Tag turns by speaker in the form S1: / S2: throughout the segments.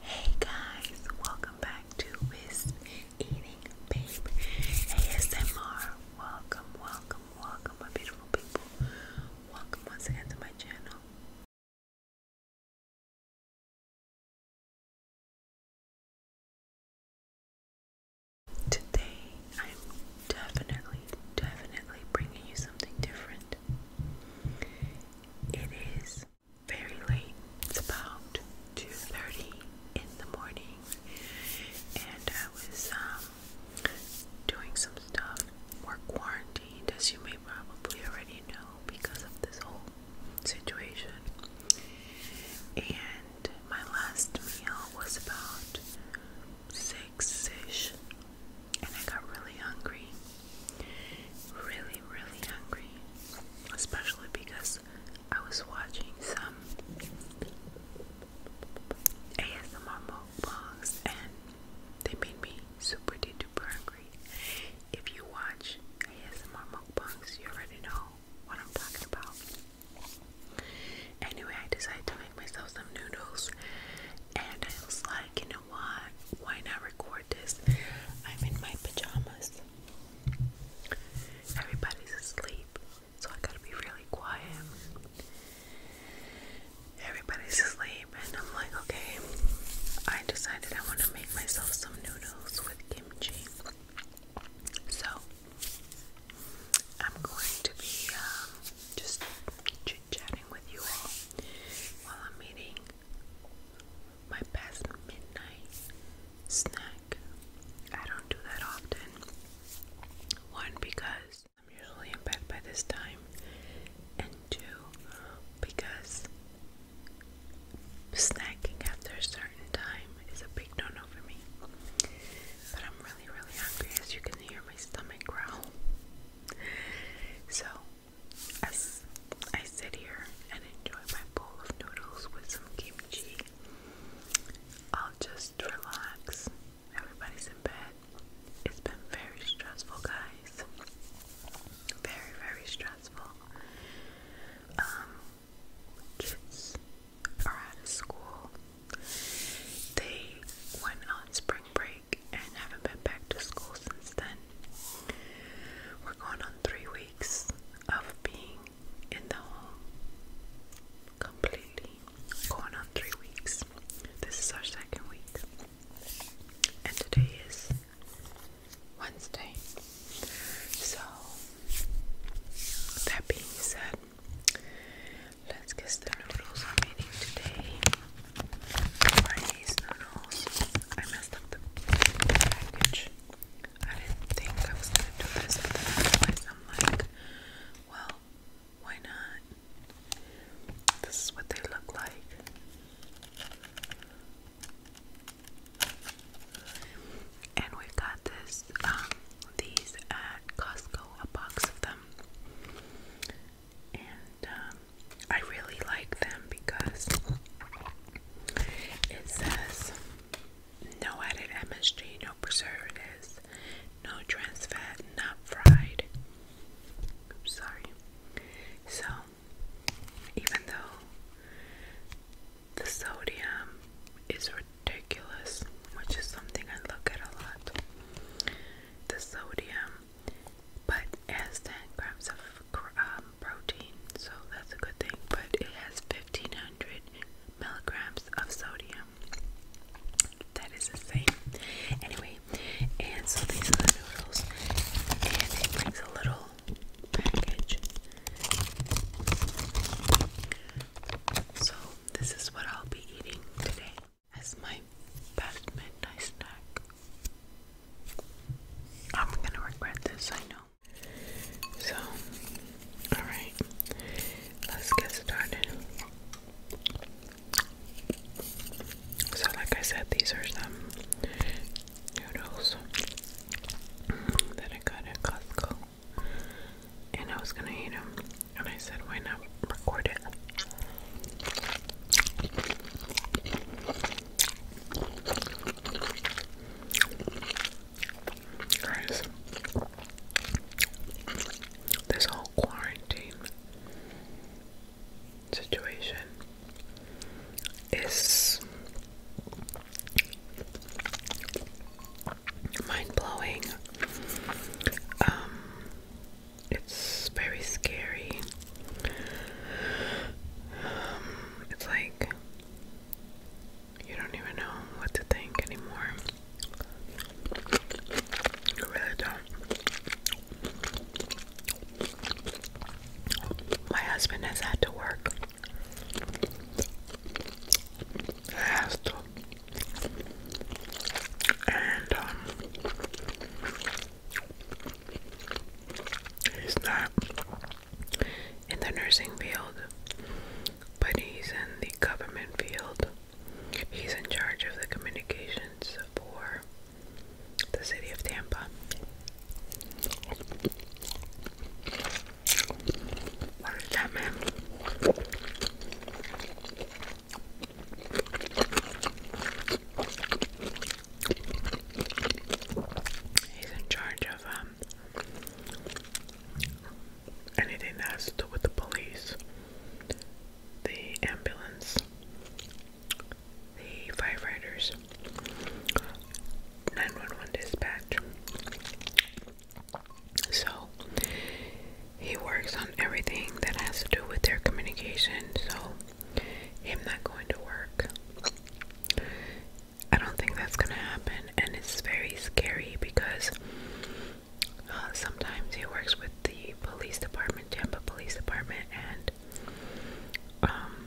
S1: Hey guys, welcome back to Wisp Eating Babe ASMR. Welcome, welcome, welcome, my beautiful people. Welcome once again to my channel. Today, I'm definitely, definitely bringing you something different. It is very late. It's about 2:30 in the morning, and I was um, doing some stuff. We're quarantined, as you may probably already know, because of this whole situation. And my last meal was about six-ish, and I got really hungry really, really hungry, especially because I was watching some ASMR mukbangs and they made me super duper hungry. If you watch ASMR mukbangs, you already know what I'm talking about. Anyway, I decided to make myself some noodles, and I was like, you know know Why not record this? I'm in my pajamas. Everybody's asleep, so I gotta be really quiet. Everybody's asleep, and I'm like, okay. I decided I want to make myself some noodles with kimchi. So, I'm going to be um, just chit chatting with you all while I'm eating my best midnight snack. I don't do that often. One, because I'm usually in bed by this time, and two, because snacking after a certain time is a big no no for me. But I'm really, really hungry, as you can hear my stomach growl. So, I, I sit here and enjoy my bowl of noodles with some kimchi. I'll just relax. Everybody's in bed. It's been very stressful, guys. Very, very stressful. Um, kids are out of school. They went on spring break and haven't been back to school since then. We're going on three weeks of being in the home completely. Going on three weeks. This is our second week. And today is Wednesday. So, that being said, let's get the noodles I'm eating today. Chinese noodles. I messed up the package. I didn't think I was gonna do this, but then I realized I'm like, well, why not? This is what they look like. And we got this, um, these at Costco, a box of them. And um, I really like them because it says no added MSG, no preservatives, no trans fat, not fried. Oops, sorry. So, even though the sodium is ridiculous, which is something I look at a lot, the sodium, but as 10 grams of um, protein, so that's a good thing. But it has 1500 milligrams of sodium. That is the same. Anyway, and so these are the noodles. And it brings a little package. So this is what I'll be eating today as my best midnight snack. I'm gonna regret this, I know. So, alright, let's get started. So, like I said, these are some noodles that I got at Costco. And I was gonna eat them, and I said, why not record it? this whole quarantine situation is mind blowing. Um, it's very scary. Um, it's like you don't even know what to think anymore. You really don't. My husband has had to work. Has to. And um, he's not in the nursing field, but he's in the government field. He's in charge of the communications for the city of Tampa. What is that, man? He's in charge of um, Anything that has to do with the police, the ambulance, the firefighters, 911 dispatch. So he works on everything that has to do with their communication. So him not going to work, I don't think that's gonna happen, and it's very scary because uh, sometimes he works with the police department, Tampa Police Department, and um,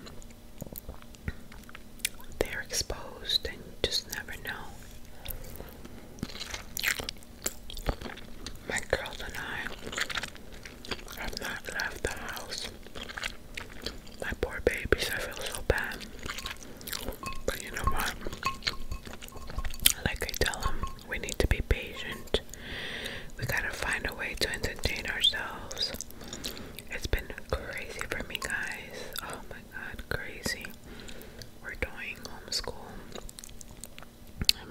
S1: they're exposed, and you just never know. My girls and I have not left the house my poor babies, I feel so bad. But you know what? Like I tell them, we need to be patient. We gotta find a way to entertain ourselves. It's been crazy for me, guys. Oh my god, crazy. We're doing homeschool,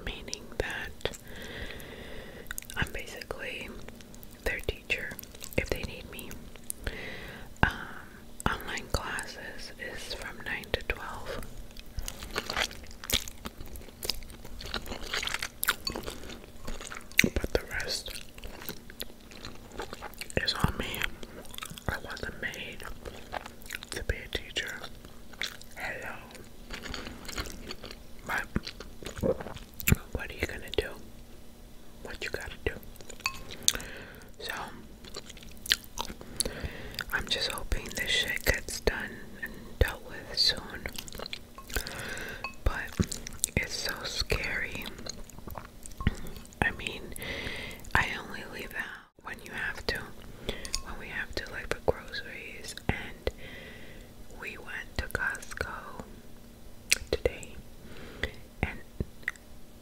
S1: meaning that I'm basically their teacher if they need me. Um, online classes is from 9 to 12. But the rest is on me. I wasn't made to be a teacher. Hello. But what are you gonna do? What you gotta do? So, I'm just hoping this shit gets done and dealt with soon. But it's so scary. I mean, I only leave out when you have to. When we have to, like, for groceries. And we went to Costco today and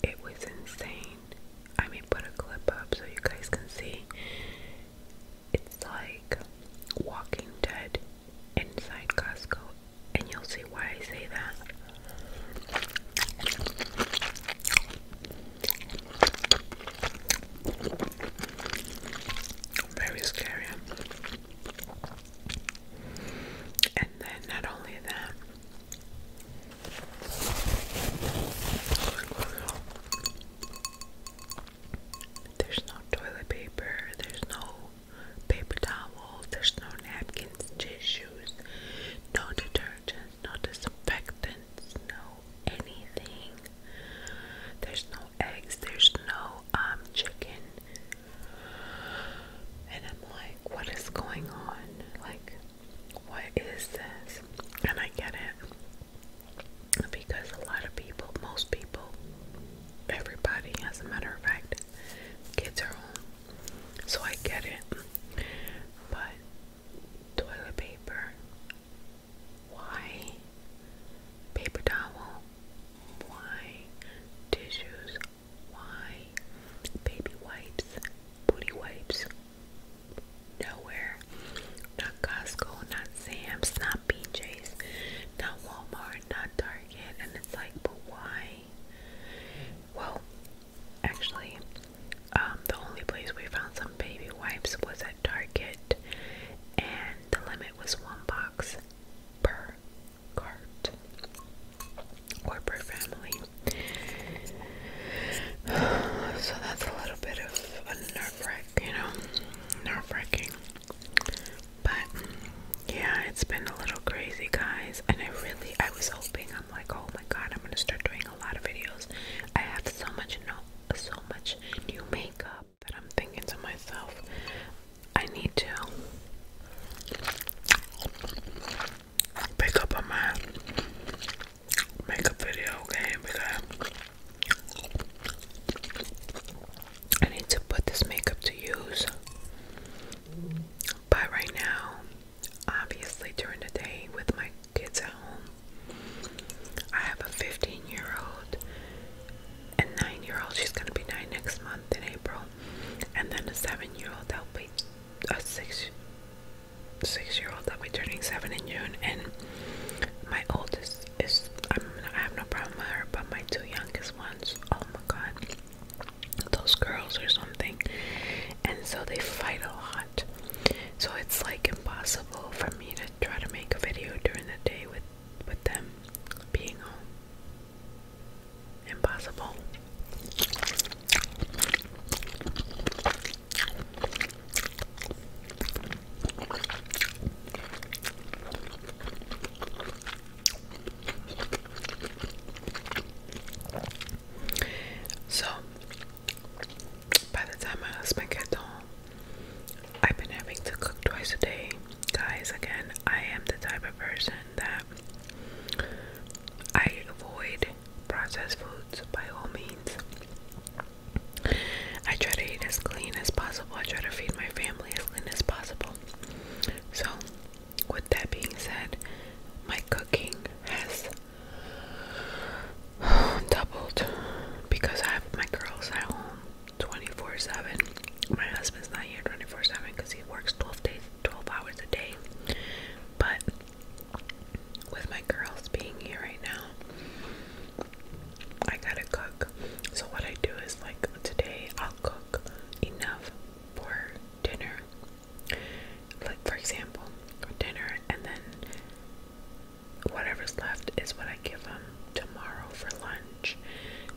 S1: it was insane. I mean, put a clip up so you guys can see. It's like Walking Dead inside Costco, and you'll see why I say that. Very scary. And then not only that, there's no toilet paper, there's no paper towels, there's no napkins, tissues, no detergents, no disinfectants, no anything. There's no eggs, there's no um chicken, and I'm like, what is going on? Like, what is this? And I get it. Because a lot of people, most people, everybody, as a matter of fact, kids are home. So I get it. But toilet paper. Why? Paper towel. Why? Tissues. Why? Baby wipes, booty wipes. Nowhere. Not Costco, not Sam's, not BJ's, not Walmart, not Target. And it's like, but why? Well, actually, um, the only place we found some baby wipes was at Target, and the limit was one box per cart or family. So that's a little bit of nerve wreck, you know, nerve wracking. But yeah, it's been a little crazy, guys. And I really, I was hoping, I'm like, oh my god, I'm gonna start doing a lot of videos. I have so much, no, so much new makeup that I'm thinking to myself, I need to pick up on makeup video game because I need to put this makeup to use. But right now, obviously during the day with my kids at home, I have a 15 year old and 9 year old. She's going to be 9 next month in April and then the seven-year-old that'll be a six six-year-old that'll be turning seven in June, and my oldest is I'm not, I have no problem with her, but my two youngest ones, oh my god, those girls or something, and so they fight a lot, so it's like impossible for me to try to make a video during the day with with them being home impossible. So, by the time my husband gets home, I've been having to cook twice a day. Guys, again, I am the type of person that I avoid processed foods by all means. I try to eat as clean as possible. I try to feed my family as clean as possible. So, with that being said, my cooking has doubled because I have my girls at home 24 7. My husband's not here 24 7 because he works 12 days 12 hours a day. But with my girls being here right now, I gotta cook. So, what I do is like today, I'll cook enough for dinner. Like, for example, dinner, and then whatever's left is what I give them tomorrow for lunch.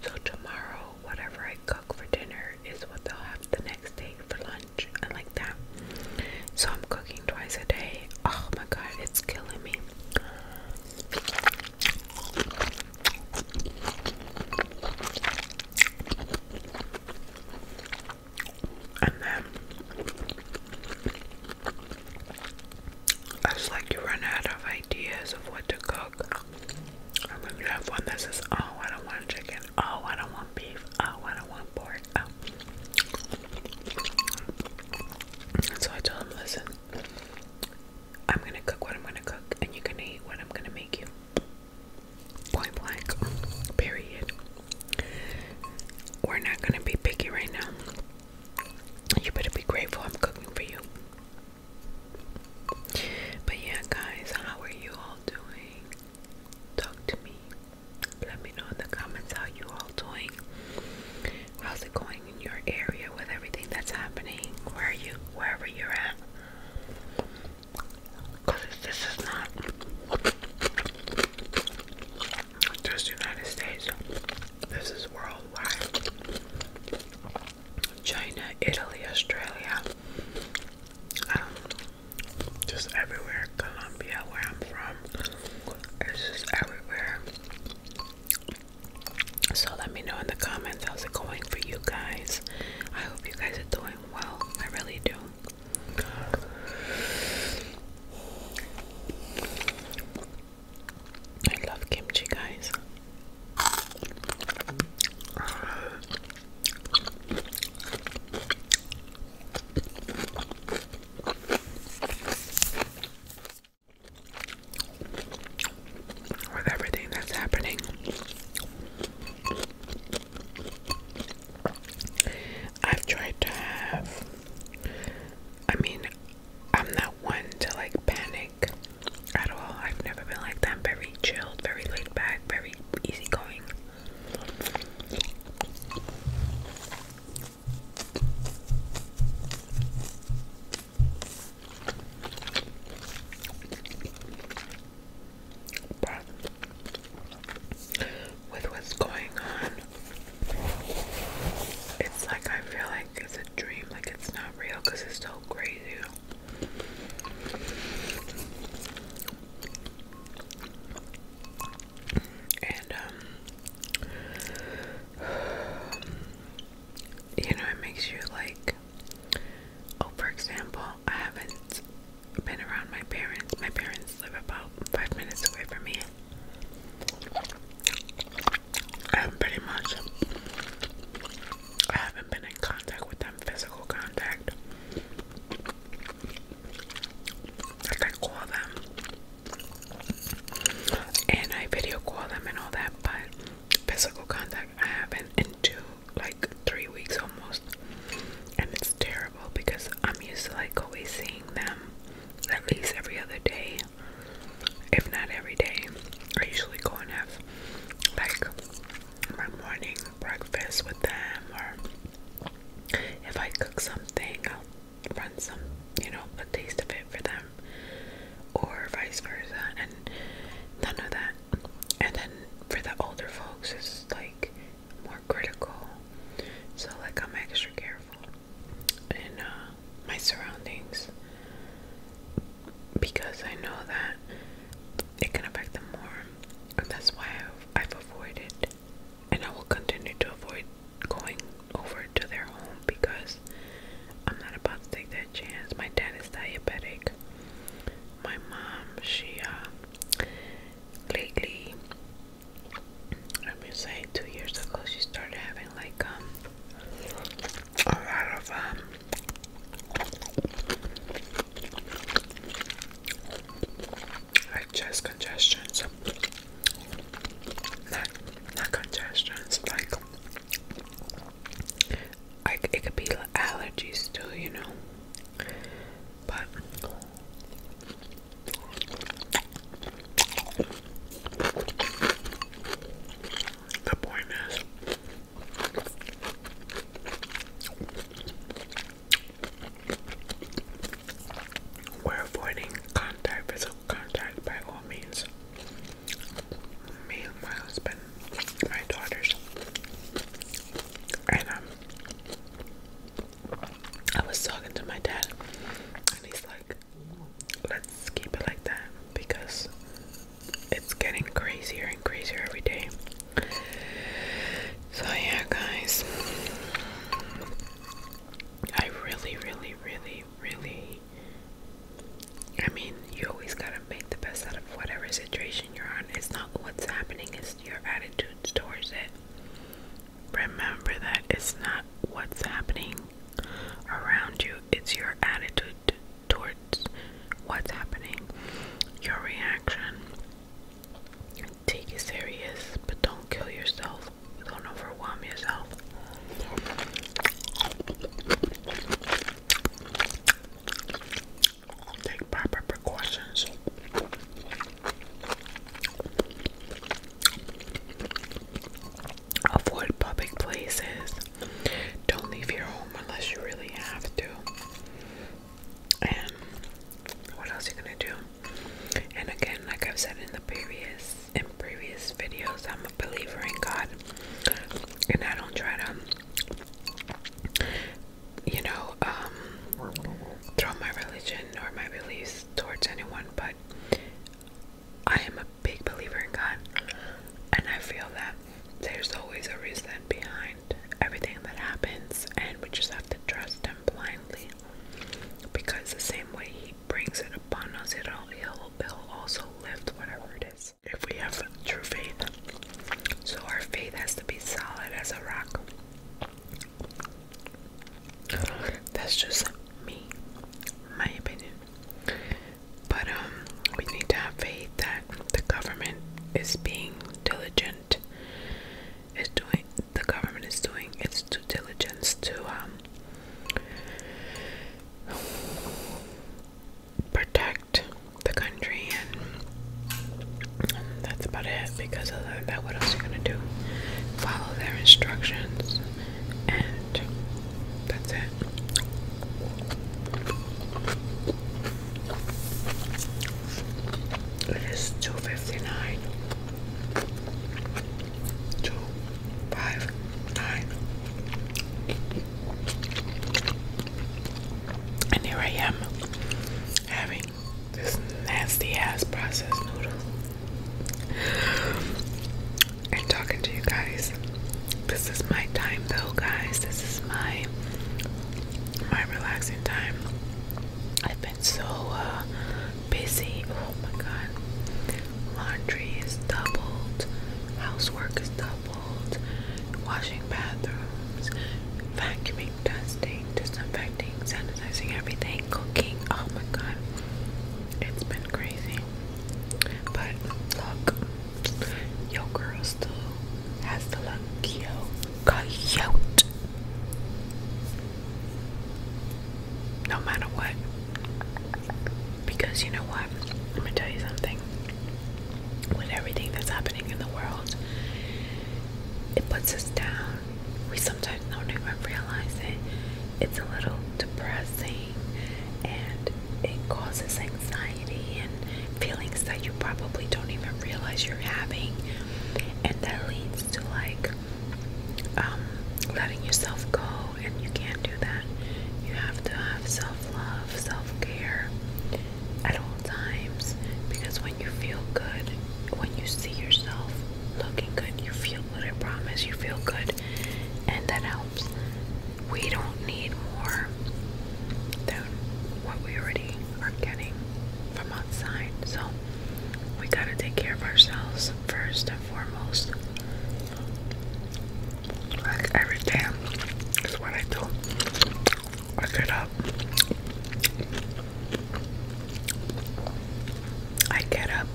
S1: So, tomorrow, whatever I cook for dinner is what they'll have the next day for lunch and like that. So I'm cooking twice a day. Oh my god, it's killing me. And then it's like you run out of ideas of what to cook. you have one that says, Oh, I don't want chicken, Oh, I don't want beef. Oh, I don't want pork. Oh. so I told him, listen, I'm gonna cook what I'm gonna cook, and you're gonna eat what I'm gonna make you. Point blank. Period. We're not gonna be picky right now. You better be grateful I'm cooking for you. But yeah, guys, how are you all? doing? Talk to me. Let me know in the comments how you all doing. How's it going in your area with everything that's happening? Where are you? Wherever you're at. Cause this is not just United States. This is worldwide. China, Italy, Australia, um, just everywhere. Colombia, where I'm from, it's just everywhere. So let me know in the comments how's it going for you guys. I hope you guys are doing well. I really do. I love kimchi, guys. With everything that's happening, I've tried to have. I mean, I'm not one to like panic at all. I've never been like that. I'm very chilled, very laid back, very very easygoing. with what's going on, it's like I feel like it's a dream, like it's not real it's so crazy. And, um, you know, it makes you like, oh, for example, I haven't been around my parents. My parents live about five minutes away from me. I'm um, pretty much, I haven't been in contact with them physical contact. I call them and I video call them and all that, but physical contact I haven't in two, like three weeks almost. And it's terrible because I'm used to like always seeing them at least every other day, if not every day. I usually go and have like my morning breakfast with them, or if I cook something, I'll run some, you know, a taste of it for them, or vice versa, and none of that. And then for the older folks, it's like more critical, so like I'm extra careful in uh, my surroundings because I know that it can affect them more. And that's why I've, avoided, and I will continue to avoid going over to their home because I'm not about to take that chance. My dad is diabetic. My mom, she, uh, lately, I've been saying two years ago, she started having like, um, a lot of, um, like chest congestions. Not not congestions, like it could be allergies too, you know. But the point is we're avoiding contact, physical contact by all means. Me, my husband, my daughters, and um, I was talking to my dad, and he's like, "Let's keep it like that because it's getting crazier and crazier every day." So, yeah, guys, I really, really, really, really. I mean, you always gotta make the best out of whatever situation you're on. It's not what's happening, it's your attitude towards it. Remember that it's not what's happening around you, it's your attitude towards what's happening, your reaction. Take it serious, but don't kill yourself. Don't overwhelm yourself. Take proper precautions. Avoid public places. Don't leave your home unless you really have to. And what else you gonna do? And again, like I've said in the previous in previous videos, I'm a believer in God, and I don't try to, you know, um, throw my religion or my beliefs towards anyone. But I am a big believer in God, and I feel that there's always a reason behind everything that happens, and we just have to trust Him blindly. Because the same way He brings it upon us, it'll, he'll, he'll also lift whatever it is. If we have true faith, so our faith has to be solid as a rock. That's just me, my opinion. But um, we need to have faith that the government is being diligent is doing the government is doing its due diligence to um, protect the country and, that's about it because other than that what else are you gonna do? Follow their instructions and that's it. It is two fifty nine. Two five nine. And here I am having this nasty ass processed noodle and talking to you guys. This is my time though guys. This is my my relaxing time. I've been so uh, busy. Oh my god. Laundry is doubled, housework is doubled, washing bathrooms, vacuuming, dusting, disinfecting, sanitizing everything, cooking. Oh my god. It's been crazy. But look, your girl still has to look coyote. No matter what. Because you know what? I'm going to tell you something. With everything that's happening in the world, it puts us down. We sometimes don't even realize it. It's a little depressing and it causes anxiety and feelings that you probably don't even realize you're having and that leads to like um, letting yourself go and you can't do that you have to have self-love self-care at all times because when you feel good when you see yourself looking good you feel good i promise you feel good and that helps we don't need more than what we already are getting from outside. So we gotta take care of ourselves first and foremost. every day is what I do. I get up. I get up,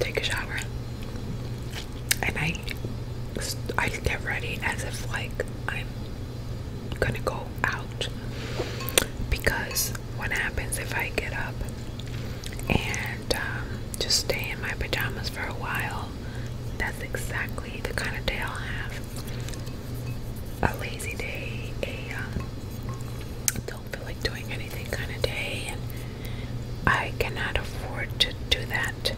S1: take a shower, and I I get ready as if like I'm gonna go out because what happens if I get up and um, just stay in my pajamas for a while? That's exactly the kind of day I'll have. A lazy day, a um, don't feel like doing anything kind of day, and I cannot afford to do that.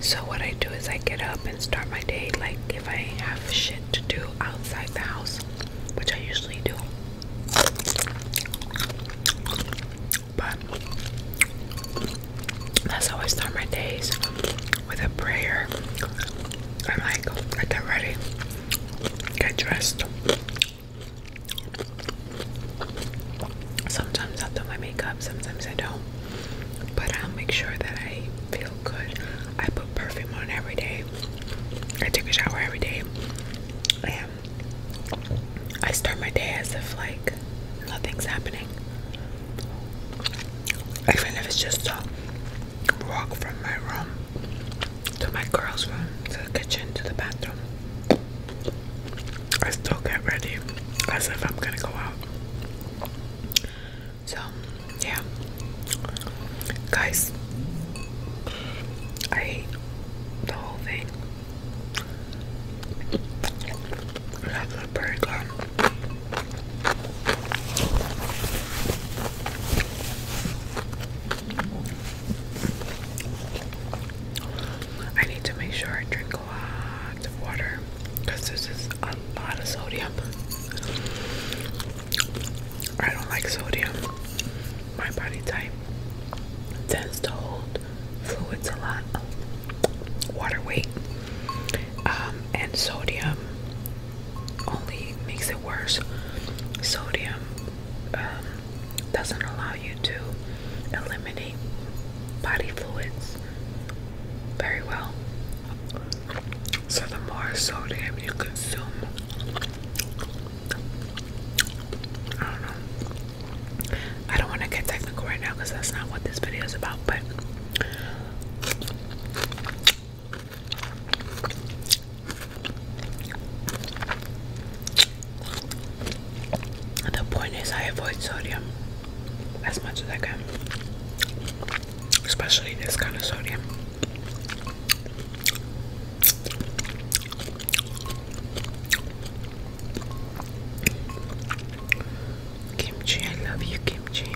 S1: So, what I do is I get up and start my day like if I have shit to do outside the house, which I usually do. But that's how I start my days with a prayer. I'm like, get ready, get dressed. Sometimes i do my makeup, sometimes I don't. But I'll make sure that I feel good. I put perfume on every day. I take a shower every day. And I start my day as if like nothing's happening. Even if it's just a walk from my room to my girl's room, to the kitchen, to the bathroom. I still get ready as if I'm gonna go out. So, yeah. Guys, I ate the whole thing. That's a burger. I need to make sure I drink a lot of water because this is a lot of sodium. I don't like sodium. My body type tends to hold fluids a lot, water weight, um, and sodium only makes it worse. Sodium um, doesn't allow you to eliminate body fluids very well. So the more sodium you consume, I don't know. I don't want to get technical right now because that's not what this video is about, but the point is I avoid sodium as much as I can especially this kind of sodium. Kimchi, I love you, kimchi.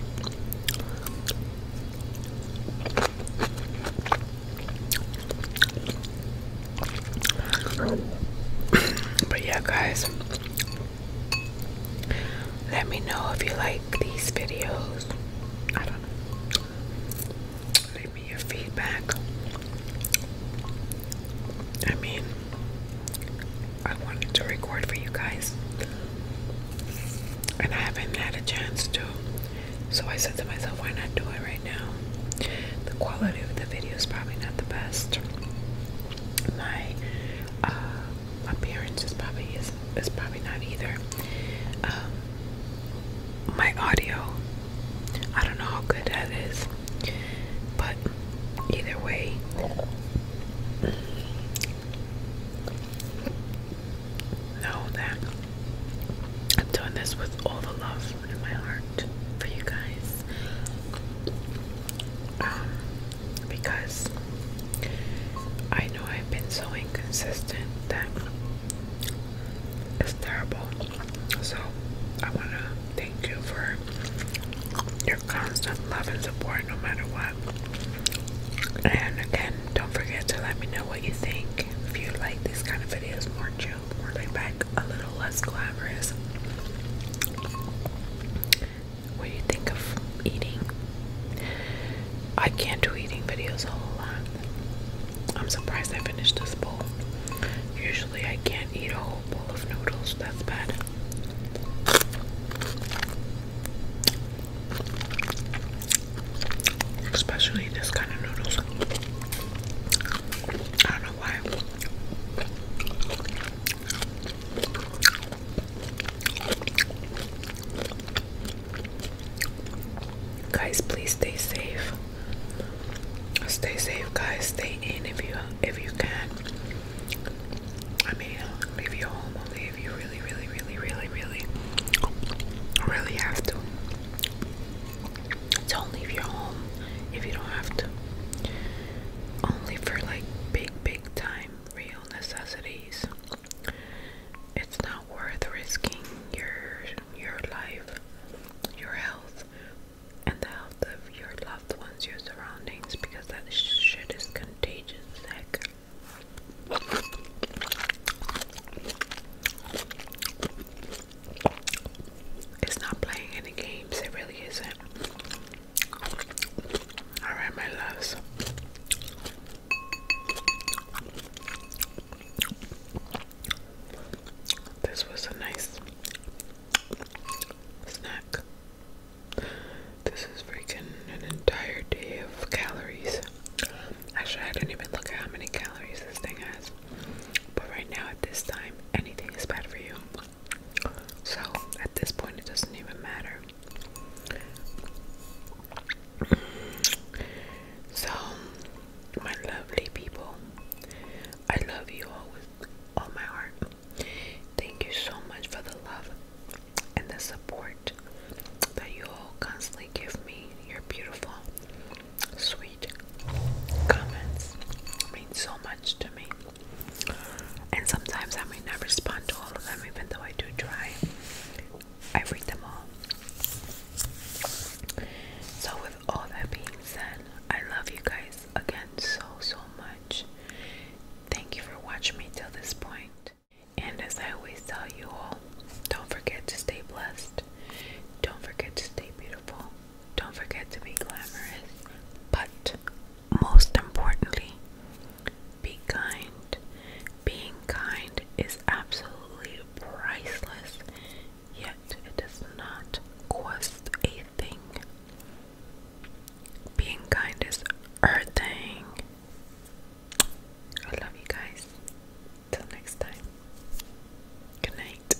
S1: but yeah, guys, let me know if you like these videos. I don't know. Leave me your feedback. I mean, I wanted to record for you guys, and I haven't had a chance to. So I said to myself, why not do it right now? The quality of the video is probably not the best. My uh, my parents is probably is probably not either. Um, my audio, I don't know how good that is, but either way, know that I'm doing this with all the love in my heart for you guys. Um, because I know I've been so inconsistent that it's terrible. So I want to thank you for your constant love and support no matter what. And again, don't forget to let me know what you think. If you like these kind of videos, more chill, more laid back, a little less glamorous. What do you think of eating I can't do eating videos a whole lot. I'm surprised I finished this bowl. Usually I can't eat a whole bowl of noodles. That's bad. Especially this kind of noodles. I don't know why. Guys, please stay safe. Stay safe, guys. Stay in if you if you can. I mean, leave your home only if you really, really, really, really, really, really have to. Don't leave your home if you don't have to. Only for like big, big time real necessities. It's not worth risking your your life, your health, and the health of your loved ones, your surroundings, because that shit is contagious heck. It's not playing any games, it really isn't. Alright, my loves. This was a nice snack. This is freaking an entire day of calories. Actually, I didn't even look at how many calories this thing has. But right now, at this time, anything is bad for you. So, at this point, it doesn't even matter. So, my lovely people, I love you all with all my heart. Thank you so much for the love and the support that you all constantly give me. Your beautiful, sweet comments mean so much to me. And sometimes I may not respond to all of them, even though I do try. I read them all. So, with all that being said, I love you guys again so, so much. Thank you for watching me till this point. And as I always tell you all, don't forget to stay blessed. Don't forget to stay beautiful. Don't forget to be glamorous. But most importantly, be kind. Being kind is absolutely priceless, yet it does not cost a thing. Being kind is earthing. I love you guys. Till next time. Good night.